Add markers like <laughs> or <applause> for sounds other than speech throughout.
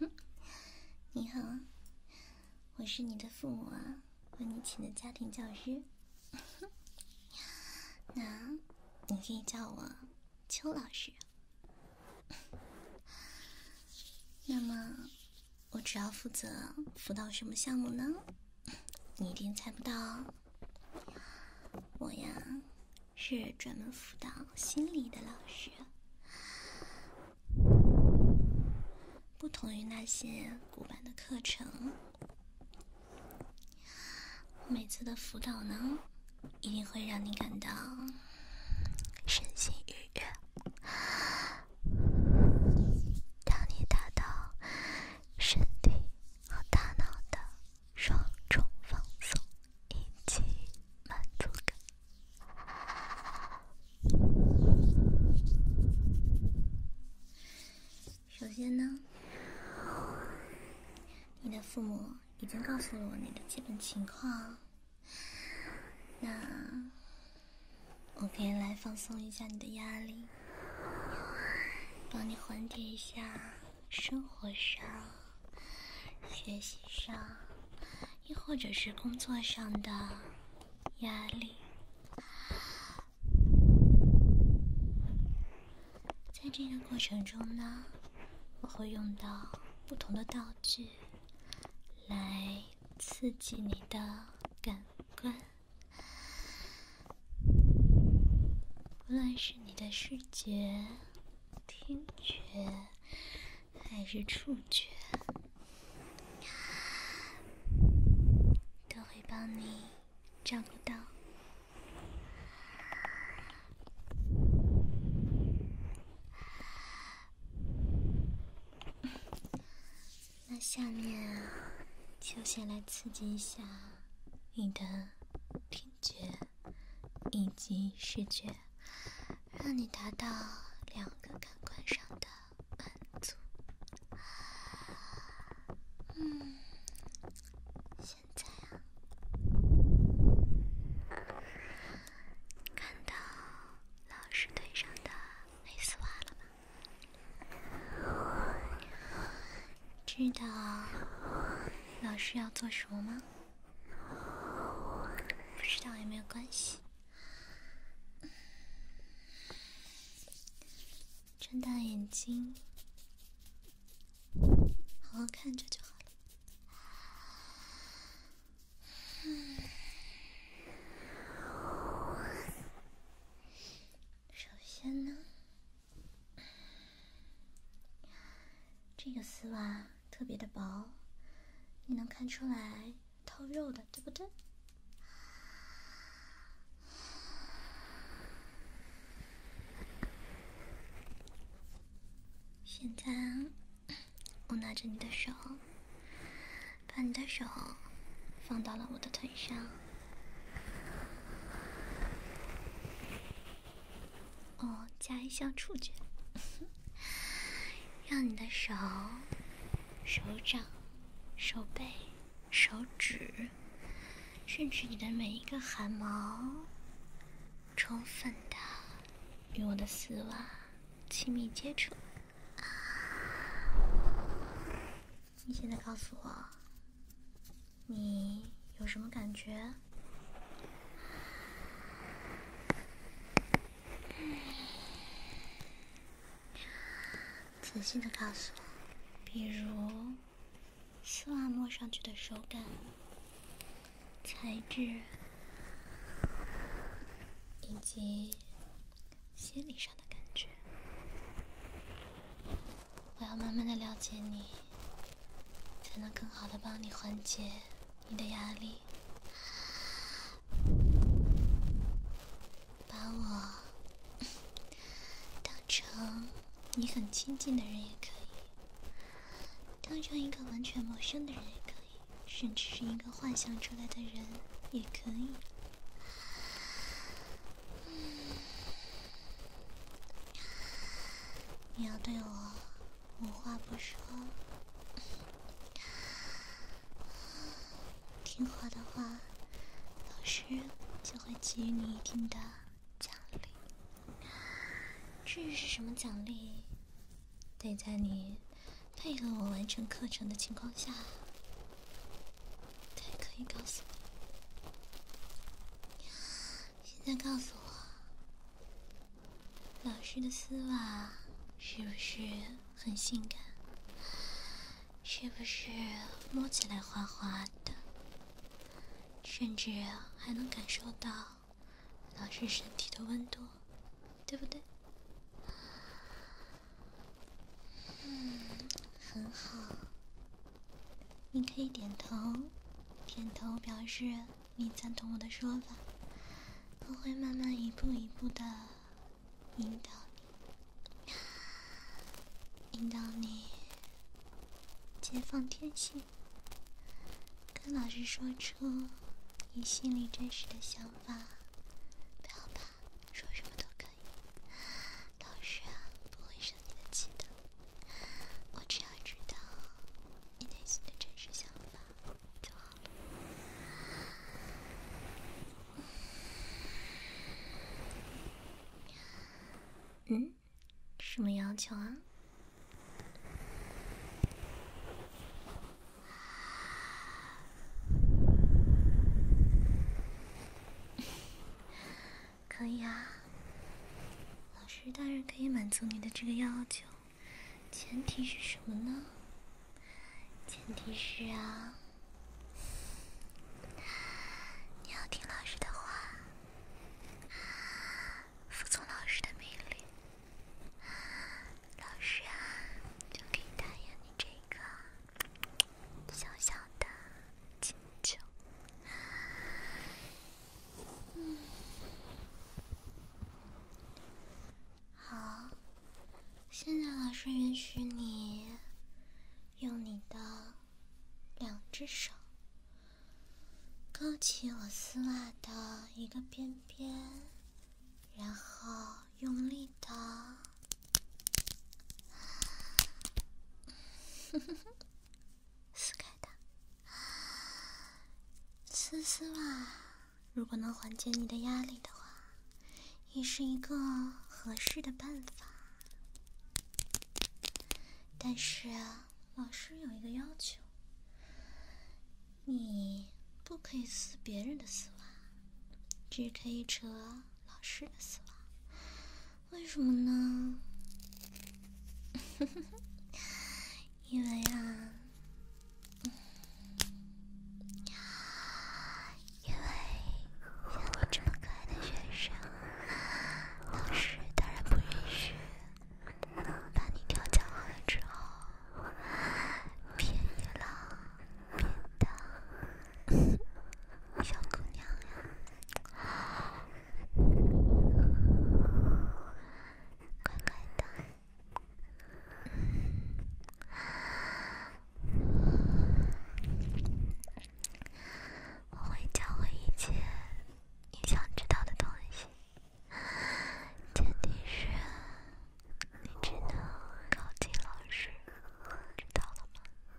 <laughs> 你好，我是你的父母啊，为你请的家庭教师。<laughs> 那你可以叫我邱老师。那么，我主要负责辅导什么项目呢？你一定猜不到，我呀。是专门辅导心理的老师，不同于那些古板的课程。每次的辅导呢，一定会让你感到身心愉悦，让你达到身体和大脑的双重放松。一起满足感。首先呢，你的父母已经告诉了我你的基本情况，那我可以来放松一下你的压力，帮你缓解一下。生活上、学习上，亦或者是工作上的压力，在这个过程中呢，我会用到不同的道具来刺激你的感官，无论是你的视觉。听觉还是触觉，都会帮你照顾到。那下面就先来刺激一下你的听。觉以及视觉，让你达到两个感官上的满足。嗯，现在啊，看到老师腿上的黑丝袜了吗？知道老师要做什么吗？不知道有没有关系，睁大眼睛，好好看着就好了。首先呢。这个丝袜特别的薄，你能看出来透肉的，对不对？现在，我拿着你的手，把你的手放到了我的腿上。哦，加一项触觉，让你的手、手掌、手背、手指，甚至你的每一个汗毛，充分的与我的丝袜亲密接触。你现在告诉我。你有什么感觉？仔细的告诉我，比如丝袜摸上去的手感、材质，以及心理上的感觉。我要慢慢的了解你，才能更好的帮你缓解你的压力。把我当成你很亲近的人也可以，当成一个完全陌生的人也可以，甚至是一个幻想出来的人也可以。<sighs> 你要对我无话不说，<sighs> 听话的话，老师就会给予你一定的奖励。至于是什么奖励，得在你配合我完成课程的情况下，才可以告诉你。现在告诉我，老师的丝袜是不是很性感？是不是摸起来滑滑的？甚至还能感受到老师身体的温度，对不对？嗯，很好。你可以点头，点头表示你赞同我的说法。我会慢慢一步一步的引导你，引导你解放天性，跟老师说出你心里真实的想法，不要怕，说什么都可以。老师不会生你的气的。我只要知道你内心的真实想法就好了。嗯，什么要求啊？可以啊，老师当然可以满足你的这个要求，前提是什么呢？前提是啊，你要听老师的话，啊，服从老师的命令，啊，老师啊就可以答应你这个。小小的请求，嗯，好，现在老师允许你用你的两只手勾起我丝袜的一个边边，然后用力的，<laughs> 撕开它啊，丝袜，如果能缓解你的压力的话，也是一个合适的办法。但是老师有一个要求，你不可以撕别人的丝袜，只可以扯。老师的死亡，为什么呢？<laughs> 因为啊，因为像我这么可爱的学生，老师当然不允许。把你调教好了之后，便宜了，便当。小姑娘呀，乖乖的，我会教会一切你想知道的东西，前提是你只能靠近老师，知道了吗？看来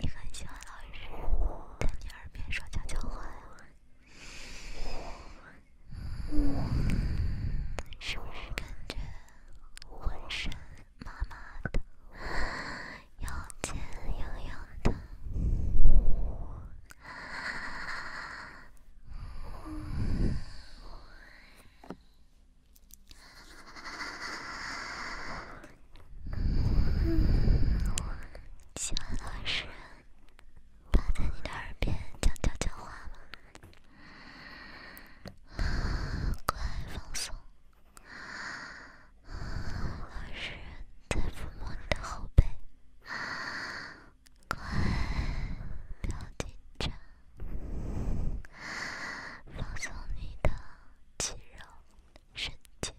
你很喜欢老师在你耳边说悄悄话，是不是感觉浑身麻麻的，腰间痒痒的？喜欢老实人趴在你的耳边讲悄悄话吗？快放松，老实人在抚摸你的后背。快，不要紧张，放松你的肌肉，身体，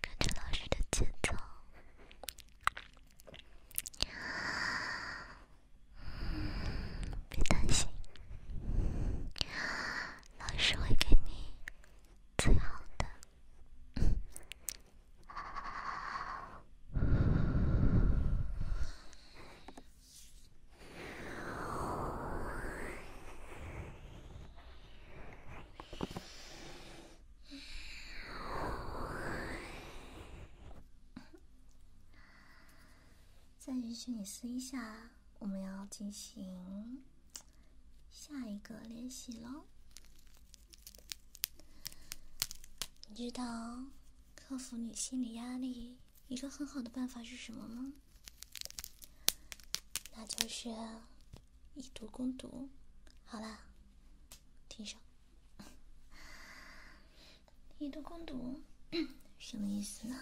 跟着老师的节奏，别担心，老师会给你最好的。再允许你撕一下，我们要进行。下一个练习喽。你知道克服你心理压力一个很好的办法是什么吗？那就是以毒攻毒。好了，停手。以 <laughs> 毒攻毒 <coughs> 什么意思呢？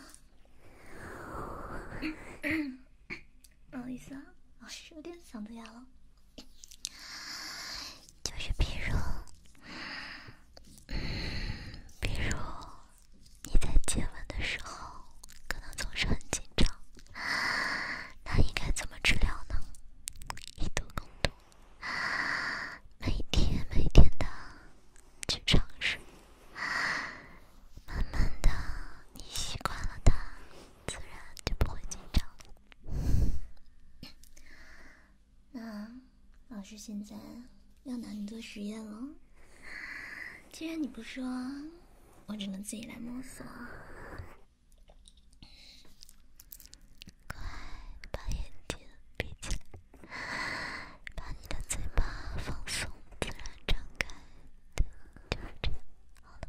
<coughs> <coughs> 不好意思啊，我是有点嗓子哑了。就是比如，比如你在接吻的时候，可能总是很紧张，那应该怎么治疗呢？以多攻多，每天每天的去尝试，慢慢的你习惯了它。自然就不会紧张。那老师现在要拿你做实验了。既然你不说，我只能自己来摸索。快把眼睛闭起来，把你的嘴巴放松，自然张开。对，就是这样。好了。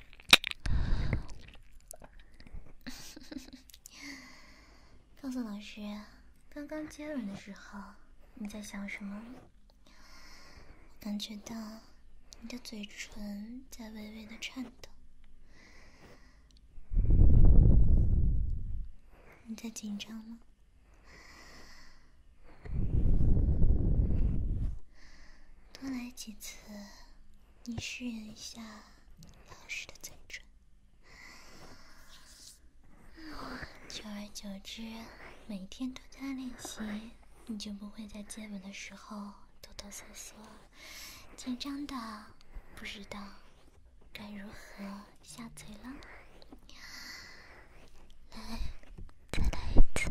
<laughs> 告诉老师，刚刚接吻的时候你在想什么？感觉到你的嘴唇在微微的颤抖，你在紧张吗？多来几次，你试验一下老师的嘴唇，久而久之，每天都在练习，你就不会在接吻的时候哆哆嗦嗦、紧张的，不知道该如何下嘴了。来，再来一次。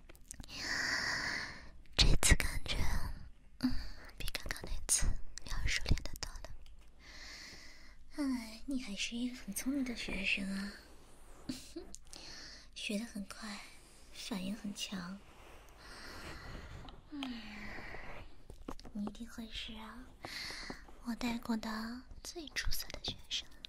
这次感觉，嗯，比刚刚那次要熟练的多了。看来你还是一个很聪明的学生啊，<laughs> 学得很快，反应很强。嗯，你一定会是啊，我带过的最出色的学生。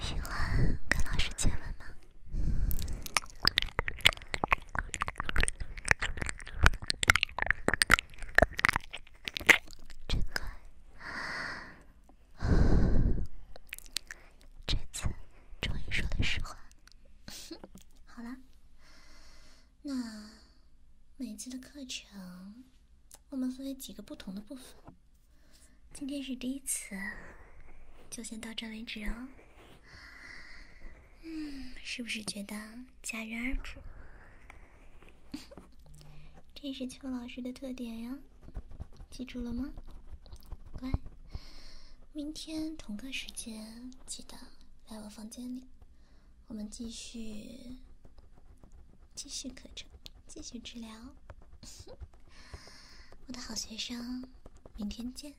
喜欢跟老师接吻吗？真乖。<laughs> 这次终于说了实话，<laughs> 好了，那每次的课程我们分为几个不同的部分，今天是第一次，就先到这为止哦。嗯，是不是觉得戛然而止，<laughs> 这是邱老师的特点呀，记住了吗？乖，明天同个时间记得来我房间里，我们继续继续课程，继续治疗，<laughs> 我的好学生，明天见。